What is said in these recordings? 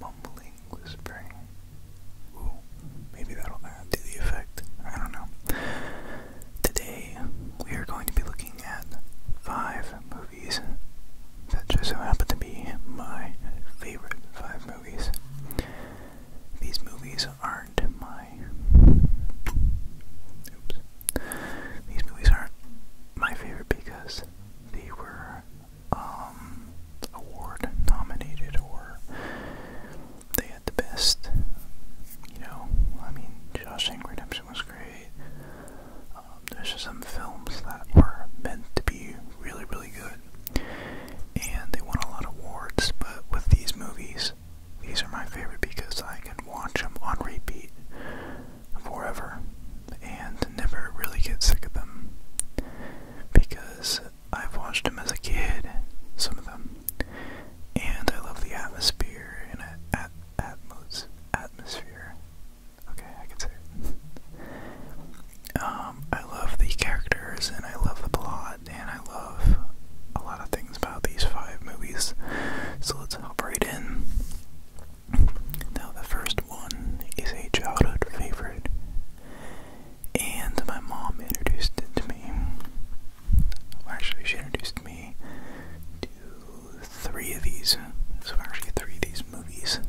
mumbling, whispering. maybe that'll add to the effect. I don't know. Today, we are going to be looking at five movies that just so happen to be my favorite five movies. These movies aren't my. Oops. These movies aren't my favorite because they were um, award nominated, or they had the best. You know, I mean, Shawshank Redemption was great. Um, there's just some films that were meant to be really, really good, and they won a lot of awards. But with these movies, these are my favorite because I can watch them on repeat forever and never really get sick of them because I've watched them as a kid, some of them, and I love the atmosphere and at, at atmos atmosphere. Okay, I can say um, I love the characters and I love the plot and I love a lot of things about these five movies. So let's hop right in. Now, the first one is a childhood favorite, and my mom introduced it to me. Well, actually, she introduced me to three of these. So, actually, three of these movies.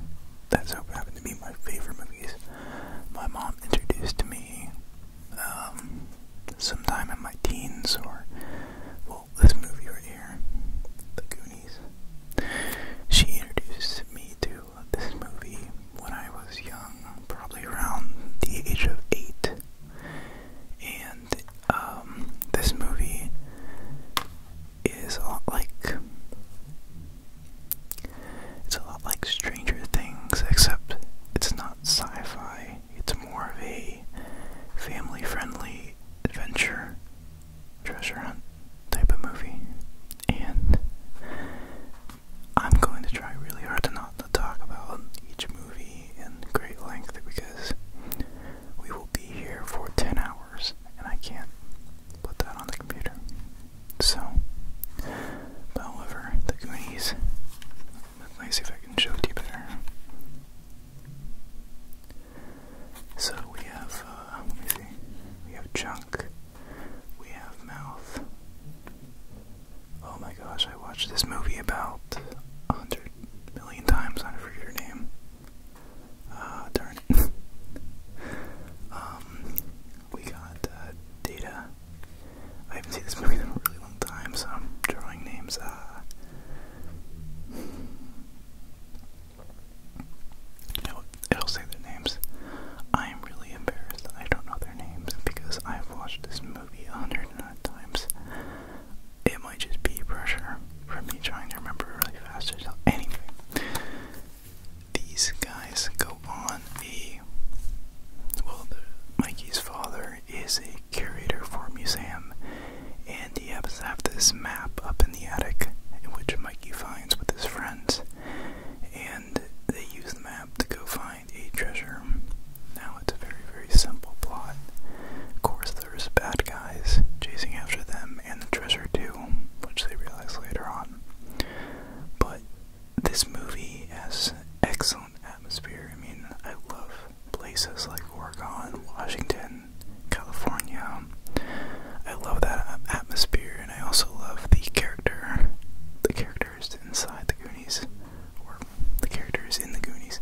That's how happened to be my favorite movies. My mom introduced to me um, sometime in my teens, or well, this movie right here, The she introduced me to this movie when I was young, probably around the age of eight. And um, this movie is a lot like it's a lot like Stranger Things, except it's not sci-fi. It's more of a family-friendly adventure treasure hunt type of movie, and I'm going to try really hard to not to talk about each movie in great length because we will be here for 10 hours and I can't put that on the computer. So, however, the Goonies, let me see if I can show it to you better. So we have, uh, let we have chunk, we have mouth. Oh my gosh, I watched this movie about a hundred million times, I forget her name. Ah, darn it. um, we got uh, data. I haven't seen this movie in a really long time, so I'm drawing names. Uh, It'll, will say their names. I am really embarrassed I don't know their names because I've watched this movie a hundred and nine times. It might just be pressure from me trying to remember really fast or something. Anyway, these guys go on a. Well, Mikey's father is a curator for a museum, and and the Yabs have this map up in the attic, in which Mikey finds with his friends, and they use the map to go find a treasure. Now it's a very, very simple plot. Of course, there's bad guys chasing after them and the treasure too, which they realize later on. But this movie has excellent atmosphere. I mean, I love places like Oregon, Washington. California. I love that atmosphere, and I also love the character, the characters inside the Goonies, or the characters in the Goonies.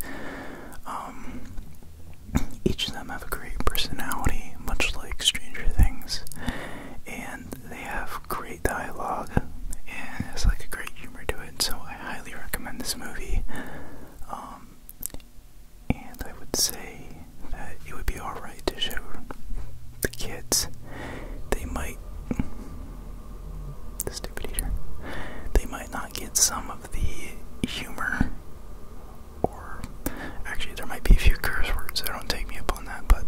Um, each of them have a great personality, much like Stranger Things, and they have great dialogue, and it's like a great humor to it. So I highly recommend this movie. Um, and I would say that it would be alright to show the kids. They might. stupid eater. They might not get some of the humor, or actually, there might be a few curse words, don't take me up on that, but.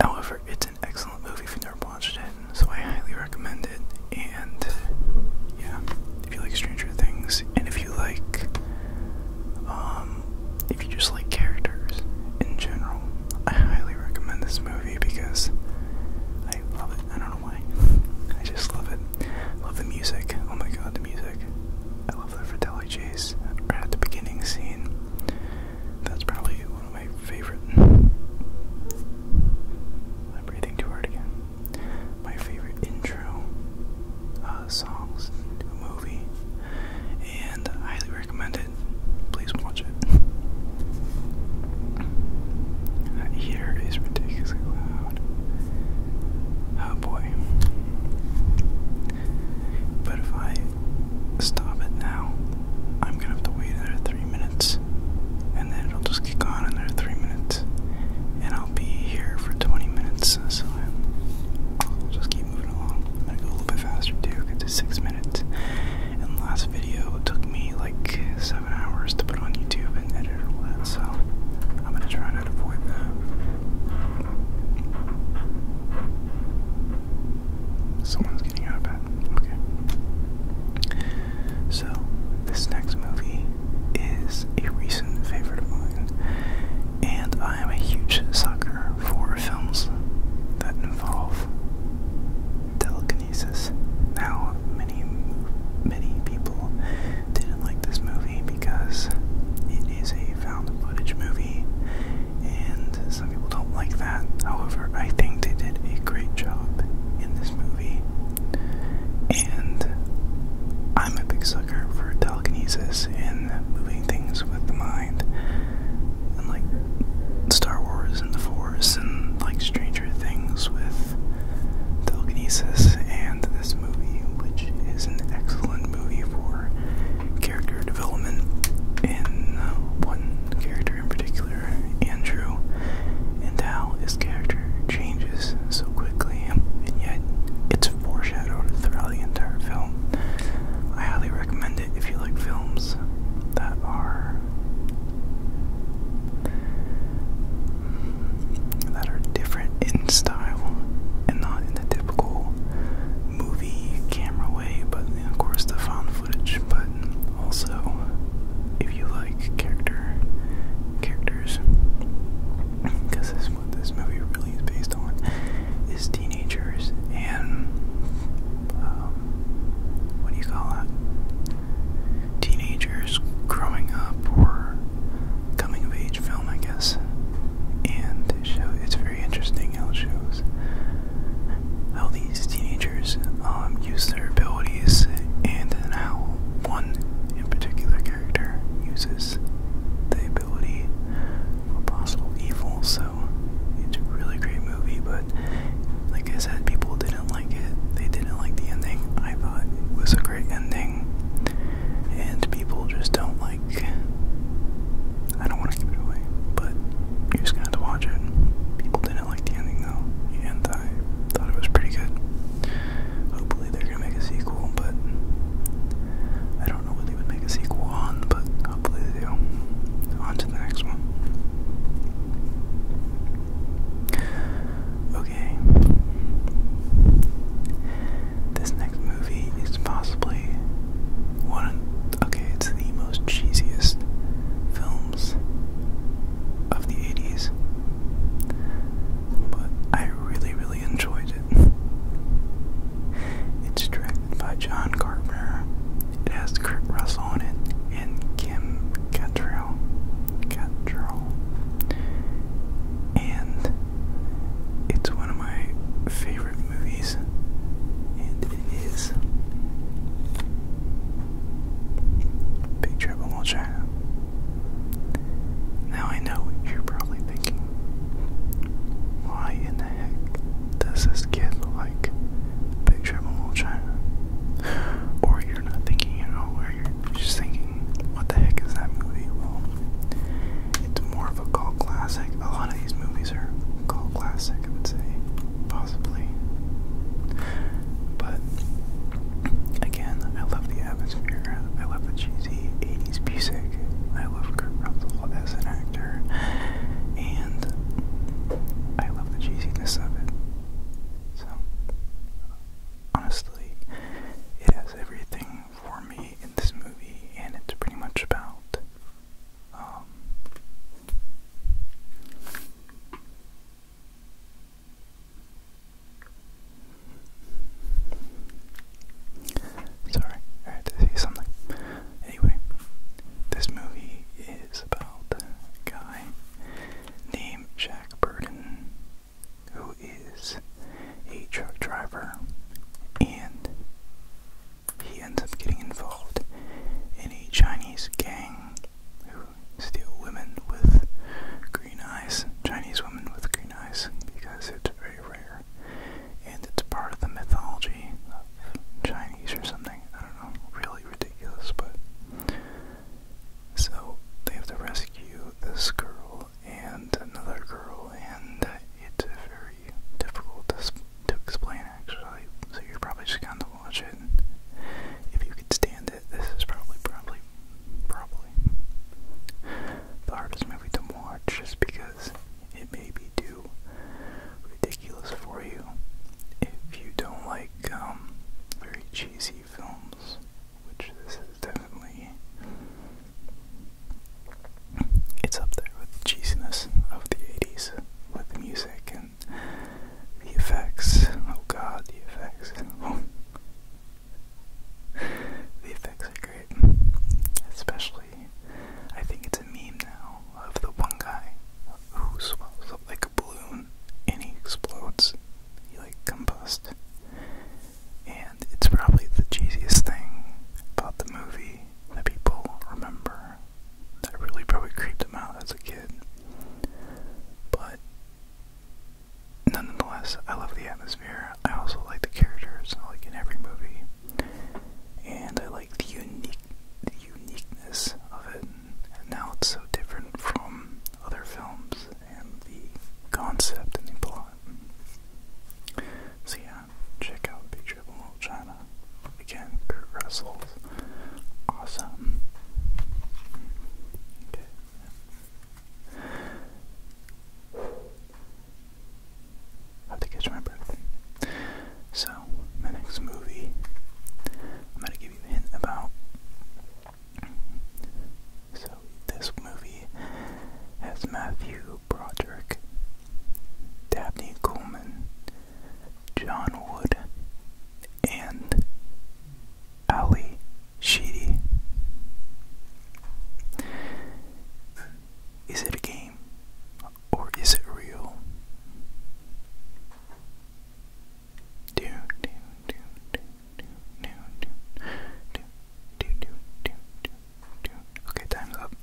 However, it's an excellent movie if you've never watched it, so I highly recommend it, and yeah if you like Stranger Things, and if you like, um, if you just like characters in general, I highly recommend this movie because I love it. I don't know why. I just love it. Love the music. Oh my god, the music. I love the Fratelli at the beginning scene. That's probably one of my favorite. I'm breathing too hard again my favorite intro uh, songs to a movie, and highly recommend it. Please watch it. That heater ridiculously loud. Oh boy. But if I stop it now, I'm gonna have to wait another three minutes, and then it'll just kick on another three minutes, and I'll be here for 20 minutes, so I'll just keep moving along. I'm gonna go a little bit faster too, get to six minutes. And last video took me like seven hours to put on YouTube and edit all that, so I'm gonna try to avoid that. Someone's getting out of bed. Okay. So this next movie is a recent favorite of mine and I am a huge sucker for films that involve telekinesis. Now, many, many people didn't like this movie because it is a found footage movie, and some people don't like that. However, I think they did a great job in this movie, and I'm a big sucker for telekinesis moving things with the mind, and like Star Wars and the Force, and like Stranger Things with telekinesis, and this movie, which is an excellent movie for character development in uh, one character in particular, Andrew, and how his character changes so quickly, and yet it's foreshadowed throughout the entire film. I highly recommend it if you like films that are that are different in style and not in the typical movie camera way, but of course the found footage. But also, if you like character characters, because this what this movie really is based on, is teenagers and um, what do you call that? Teenagers growing up or coming of age film, I guess. And it show it's very interesting how it shows how these teenagers um, use their abilities and how one in particular character uses is the ability for possible evil. So it's a really great movie, but like I said, people didn't like it. They didn't like the ending. I thought it was a great ending, and people just don't like. I don't want to give it away, but you're just gonna have to watch it. People didn't like the ending though, and I thought it was pretty good. Hopefully, they're gonna make a sequel, but I don't know what they would make a sequel on, but hopefully they do. On to the next one. Okay. This next movie is possibly one. Okay, it's the most cheesiest films of the 80s. But I really, really enjoyed it. It's directed by John Carpenter. It has Kurt Russell in it and Kim Cattrall. Cattrall. And it's one of my favorite movies. And it is Big Trouble in China. Now I know you're probably thinking why in the heck does this kid like a picture of a little China? Or you're not thinking at all, where you're just thinking, what the heck is that movie? Well, it's more of a cult classic. A lot of these movies are cult classic, I would say, possibly. But again, I love the atmosphere. I love the cheesy 80s music. I love Kurt Russell as an actor, and I love the cheesiness of it. So, honestly, it has everything for me in this movie, and it's pretty much about um, Sorry, I had to say something. Anyway, this movie is about a guy named Jack Burton who is a truck driver and he ends up getting involved in a Chinese gang who steal women with green eyes, Chinese women with green eyes, because it's very rare and it's part of the mythology of Chinese or something. I don't know, really ridiculous, but. So they have to rescue this girl and another girl, and it's very difficult to, to explain actually. So you're probably just gonna watch it. if you can stand it, this is probably, probably, probably the hardest movie to watch, just because it may be too ridiculous for you. If you don't like um, very cheesy films, which this is definitely, it's up there with the cheesiness of the 80s, with the music and the effects. Oh god, the effects. the effects Especially, I think it's a meme now of the one guy who swells up like a balloon and he explodes. He like combust. And it's probably the cheesiest thing about the movie that people remember that really probably creeped them out as a kid. But nonetheless, I love the atmosphere. I also like the characters, like in every movie, and I like the unique, the uniqueness of it. And now it's so different from other films and the concept and the plot. So yeah, check out Big Trouble in Again, Kurt Russell's awesome. Okay. I have to catch my breath. So, my next movie, I'm going to give you a hint about. So, this movie has Matthew Broderick, Dabney Coleman, John Wood, and Ali Sheedy. Is it a game? Or is it real? Okay, time's up.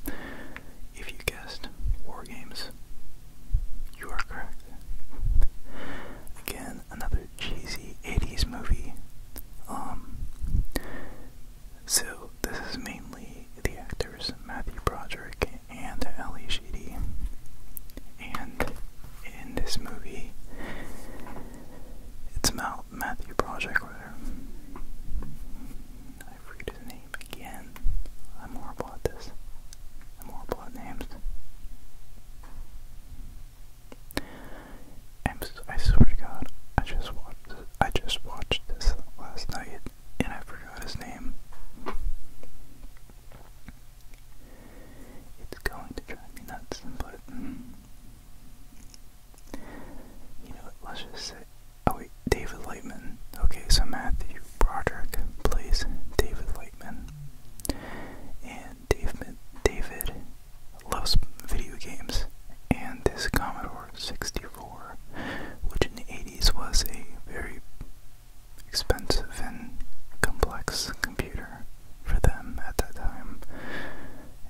If you guessed war games, you are correct. Again, another cheesy 80s movie. So, this is mainly the actors Matthew Broderick and Ali Sheedy. And in this movie, it's about Matthew Broderick. I forget his name again. I'm horrible at this. I'm horrible at names i swear to God, I just watched. I just watched this last night, and I forgot his name. It's going to drive me nuts, but mm. you know, let's just say. Oh wait, David Lightman. Okay, so Matthew Broderick plays David Lightman, and David David loves video games, and this Commodore 64, which in the 80s was a very expensive and complex computer for them at that time,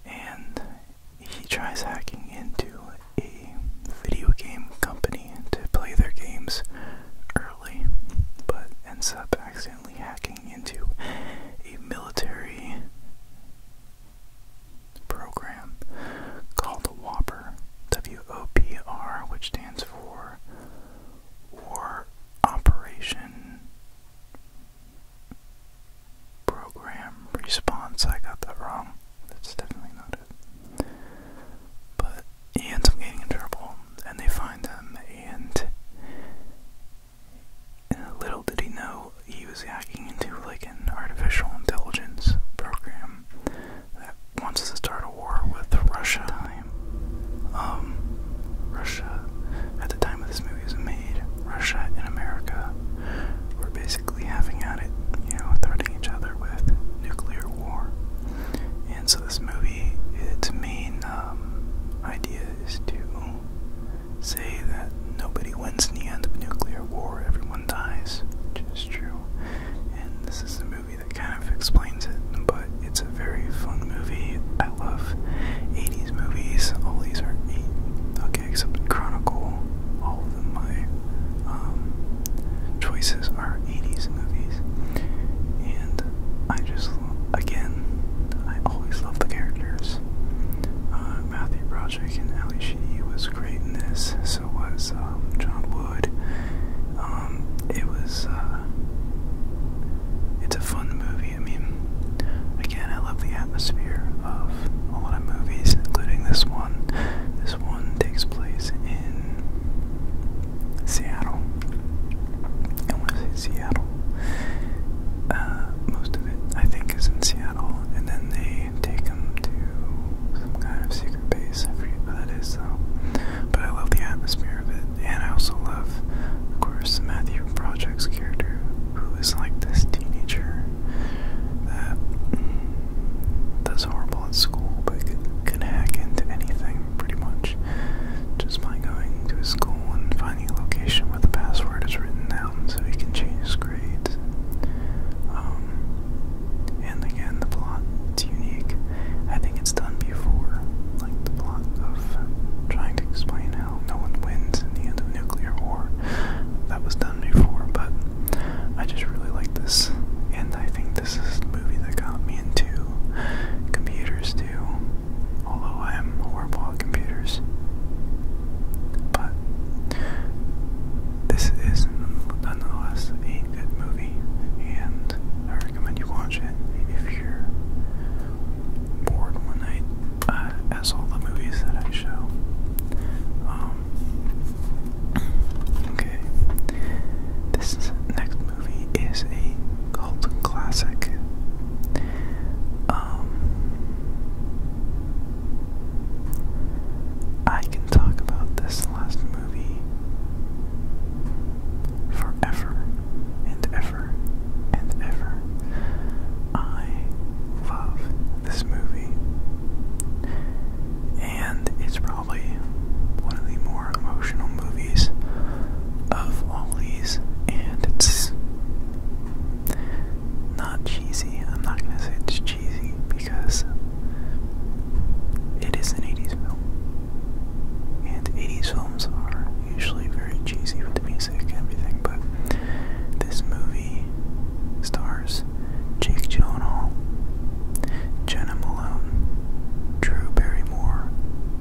and he tries hacking into a video game company to play their games early, but ends up accidentally hacking into a military program called the Whopper, WOPR, which stands for War Operation Program Response. I got that wrong. That's definitely not it. But he ends up getting in trouble, and they find him, and, and little did he know he was hacking into like an artificial intelligence program that wants to start a war with Russia. Um, Russia, at the time of this movie was made, Russia and America were basically having at it, you know, threatening each other with nuclear war. And so this movie, its main um, idea is to say that nobody wins in the end of a nuclear war, everyone dies, which is true. And this is a movie that kind of explains it, but it's a very fun movie. I love 80s movies. All these are eight, okay, except Chronicle. All of them, my um, choices are 80s movies. And I just, again, I always love the characters. Uh, Matthew Broderick. Belichick and Ali Sheedy was great in this. So was um, John Wood. Um, it was. Uh, it's a fun movie. I mean, again, I love the atmosphere of a lot of movies, including this one. This one takes place in Seattle. I want to say Seattle. Uh, most of it, I think, is in Seattle. Seattle, and then they take him to some kind of secret base. I forget what that is, though. But I love the atmosphere of it, and I also love, of course, Matthew Project's character, who is like this teenager that does horrible at school, but can, can hack into anything pretty much just by going to his school and finding a location where the password is written down so he can change his grades. Um, and again, the plot it's unique. I think it's done before, like the plot of trying to explain how no one wins in the end of nuclear war. That was done before, but I just really like this, and I think this is the movie that got me into computers too. Although I am horrible at computers. But this is nonetheless a good movie, and I recommend you watch it if you're bored one night, uh, as all the movies that I show. Um, okay, this next movie is a cult classic. Um, I can talk about this last movie forever and ever and ever. I love this movie, and it's probably one of the more emotional movies of all these, and it's not cheesy. I'm not gonna say it's cheesy because it is an 80s film. And 80s films are usually very cheesy with the music and everything, but this movie stars Jake Gyllenhaal, Jenna Malone, Drew Barrymore,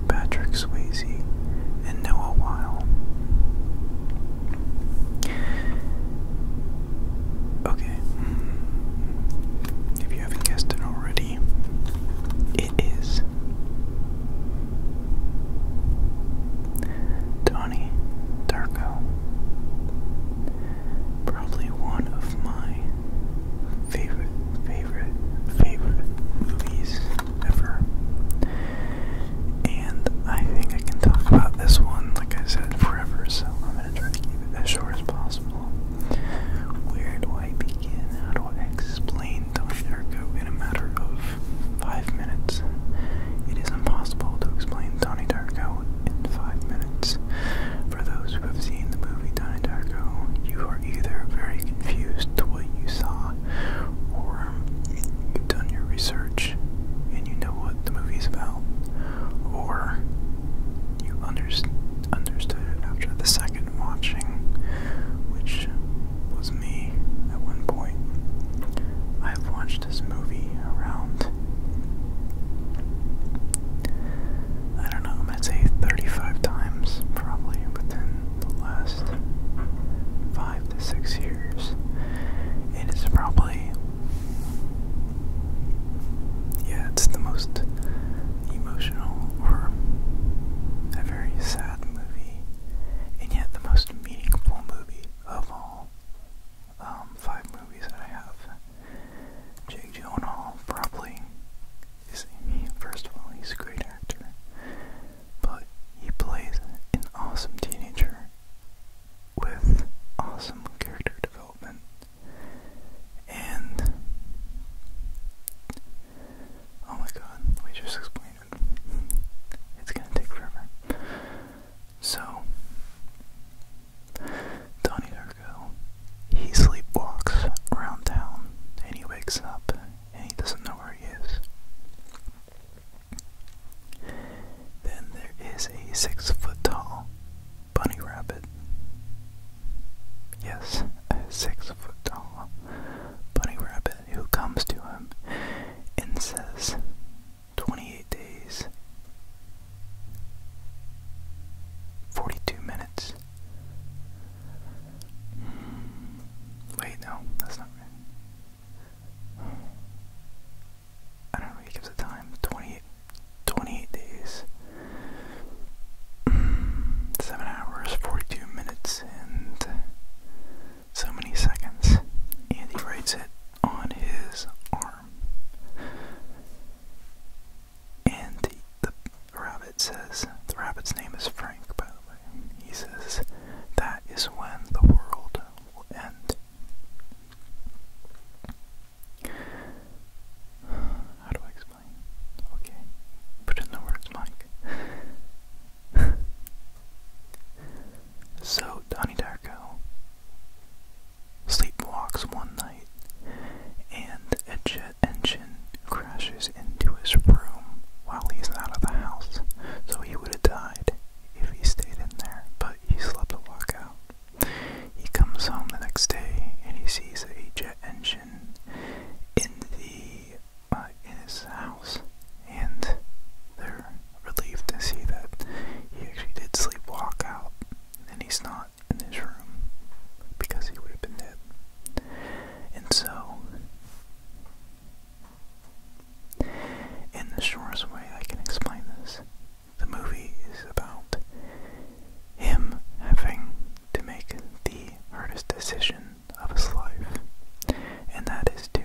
Patrick Swayze, and Noah Weil. Okay. Hmm. If you haven't guessed it already, it is Donnie Darko. Probably one of my favorite, favorite, favorite movies ever. And I think I can talk about this one, like I said, forever, so I'm going to try to keep it as short as possible. Where do I begin? How do I explain Tony in a matter of five minutes? It is impossible to explain Donnie Darko in five minutes. For those who have seen the movie Donnie Darko, you are either very confused to what you saw, or you've done your research and you know what the movie's about, or you understood after the second watching, which was me at one point. I have watched this movie around, I don't know, I'm gonna say 35 times probably within the last five to six years. It is probably yeah, it's the most emotional or a very sad movie, and yet the most meaningful movie of all um, five movies that I have. Jake Gyllenhaal probably is, first of all, he's a great actor, but he plays an awesome teenager with awesome character development and oh my god, we just explained it. It's gonna take forever. So Donnie Darko, he sleepwalks around town and he wakes up and he doesn't know where he is. Then there is a six foot tall bunny rabbit. Yes, a six foot tall bunny rabbit who comes to him and says, 28 days, 42 minutes. Wait, no, that's not right. I don't really give the time. 28, days. Mm, 7 hours, 42 minutes, and so many seconds. And he writes it on his arm. And the rabbit says, the rabbit's name is Frank, by the way. He says, That is when the world will end. How do I explain? Okay, put in the words, Mike. so, Donnie Darko sleepwalks one night, and a jet engine crashes into his room while he's out of the house. So he would have died if he stayed in there, but he slept a walk out. He comes home the next day and he sees a jet engine in the uh, in his house, and they're relieved to see that he actually did sleepwalk out, and he's not in his room because he would have been dead. And so, in the shortest way I can explain this the movie is about him having to make the hardest decision of his life, and that is to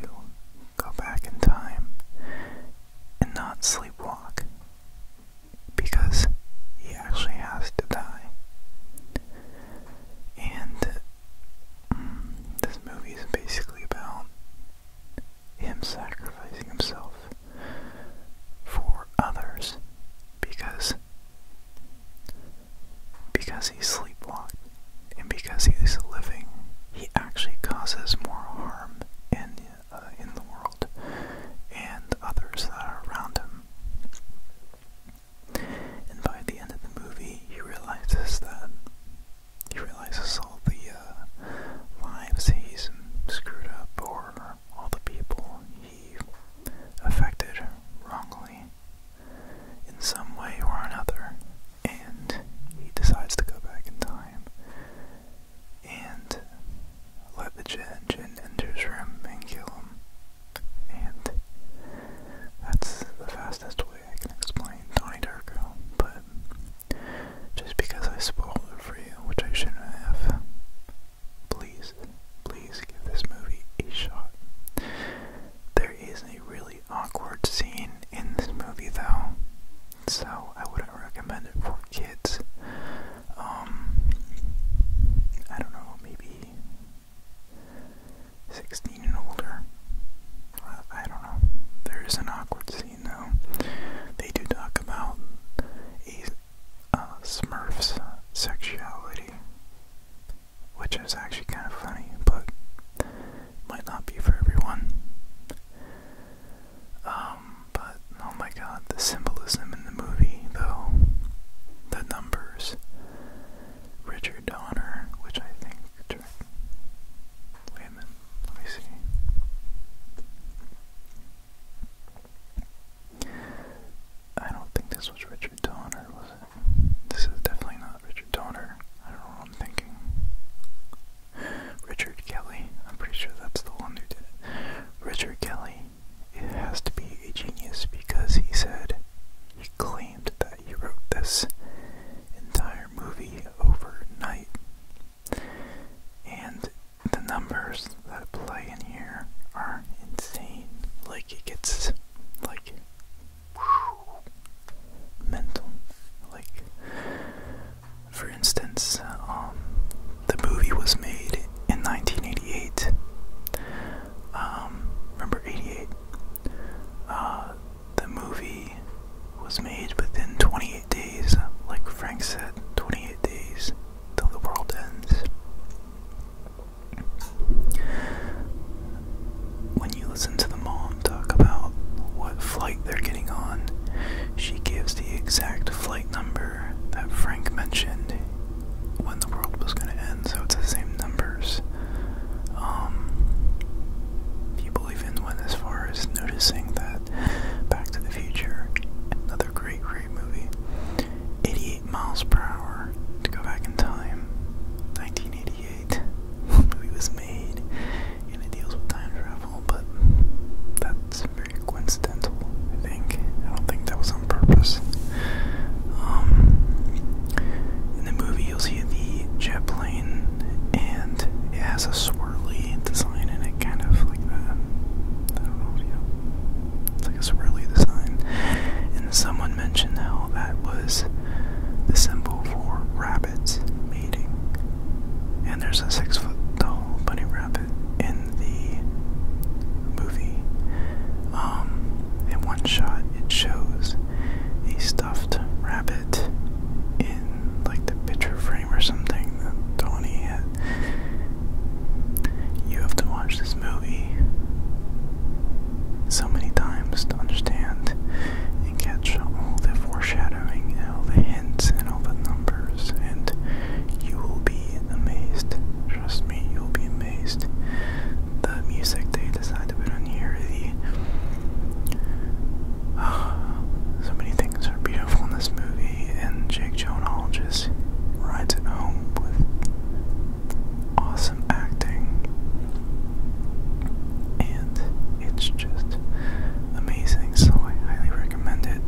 go back in time and not sleepwalk because he actually has to die. And mm, this movie is basically about him sacrificing himself for others because because he sleepwalked and because he's living he actually causes more harm in uh, in the world and others that are around him and by the end of the movie he realizes that he realizes all the uh, lives he's screwed up or all the people he affected wrongly in some way or another, and he decides to go back in time and let the Jin, Jin enter his room and kill him. And that's the fastest way I can explain Donnie Darko, but just because I spoiled it for you, which I shouldn't have. Please, please give this movie a shot. There is a really awkward scene in this movie though, so I wouldn't recommend it for kids. Um, I don't know, maybe 16 and older. Uh, I don't know. There is an awkward scene you know. They do talk about uh, Smurf's sexuality, which is actually kind of funny, but might not be for everyone. Um, but oh my god, the symbolism in the movie, though. The numbers. Richard Donner, which I think. Let me see. I don't think this was Richard Donner, was it? This is definitely not Richard Donner. I don't know what I'm thinking. Richard Kelly. I'm pretty sure that's the one who did it. Richard Kelly. It has to be a genius because he said he claimed that he wrote this entire movie overnight. And the numbers that play in here are insane. Like it gets like whew, mental. Like for instance, um, the movie was made in 1988. Um, remember 88? Uh, the movie was made within 28 days, like Frank said, 28 days till the world ends. When you listen to the mom talk about what flight they're getting on, she gives the exact flight number that Frank mentioned when the world was going to end, so it's the same numbers. Um, people even went as far as noticing that Back to the Future, another great, great movie, 88 miles per hour to go back in time, 1988. movie was made, and it deals with time travel, but that's very coincidental, I think. I don't think that was on purpose. Um, in the movie, you'll see the jet plane, and it has a swirly design in it, kind of like that. It's like a swirly design. And someone mentioned how that was the symbol for rabbits mating. And there's a six foot tall bunny rabbit in the movie. Um, in one shot, it shows a stuffed rabbit in like the picture frame or something that Tony hit. You have to watch this movie so many times to understand and catch all the foreshadowing all the hints and all the numbers, and you will be amazed. Trust me, you'll be amazed. The music they decide to put on here, the so many things are beautiful in this movie and Jake Gyllenhaal just rides it home with awesome acting, and it's just amazing. So I highly recommend it.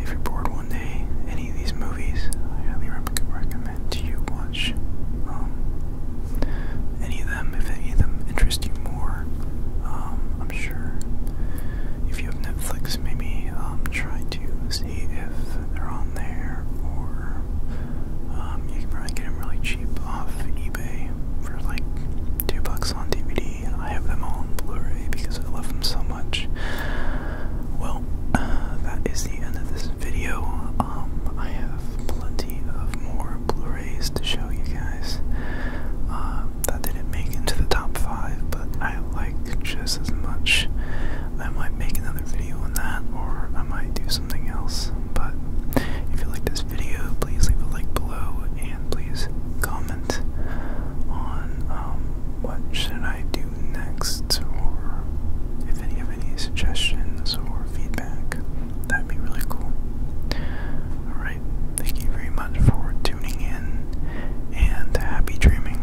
If you're bored one day, any of these movies, I highly recommend to you watch um, any of them if any of them interest you more. Um, I'm sure. If you have Netflix, maybe um, try to see if they're on there, or um, you can probably get them really cheap off eBay for like two bucks on DVD. I have them all on Blu-ray because I love them so much. Well, that is the end of this video. I have plenty of more Blu-rays to show you guys. Um, that didn't make into the top five, but I like just as much. I might make another video on that, or I might do something else. But if you like this video, please leave a like below and please comment on um, what should I do next, or if any have any suggestions or feedback. That'd be really cool. All right thank you very much for tuning in and happy dreaming.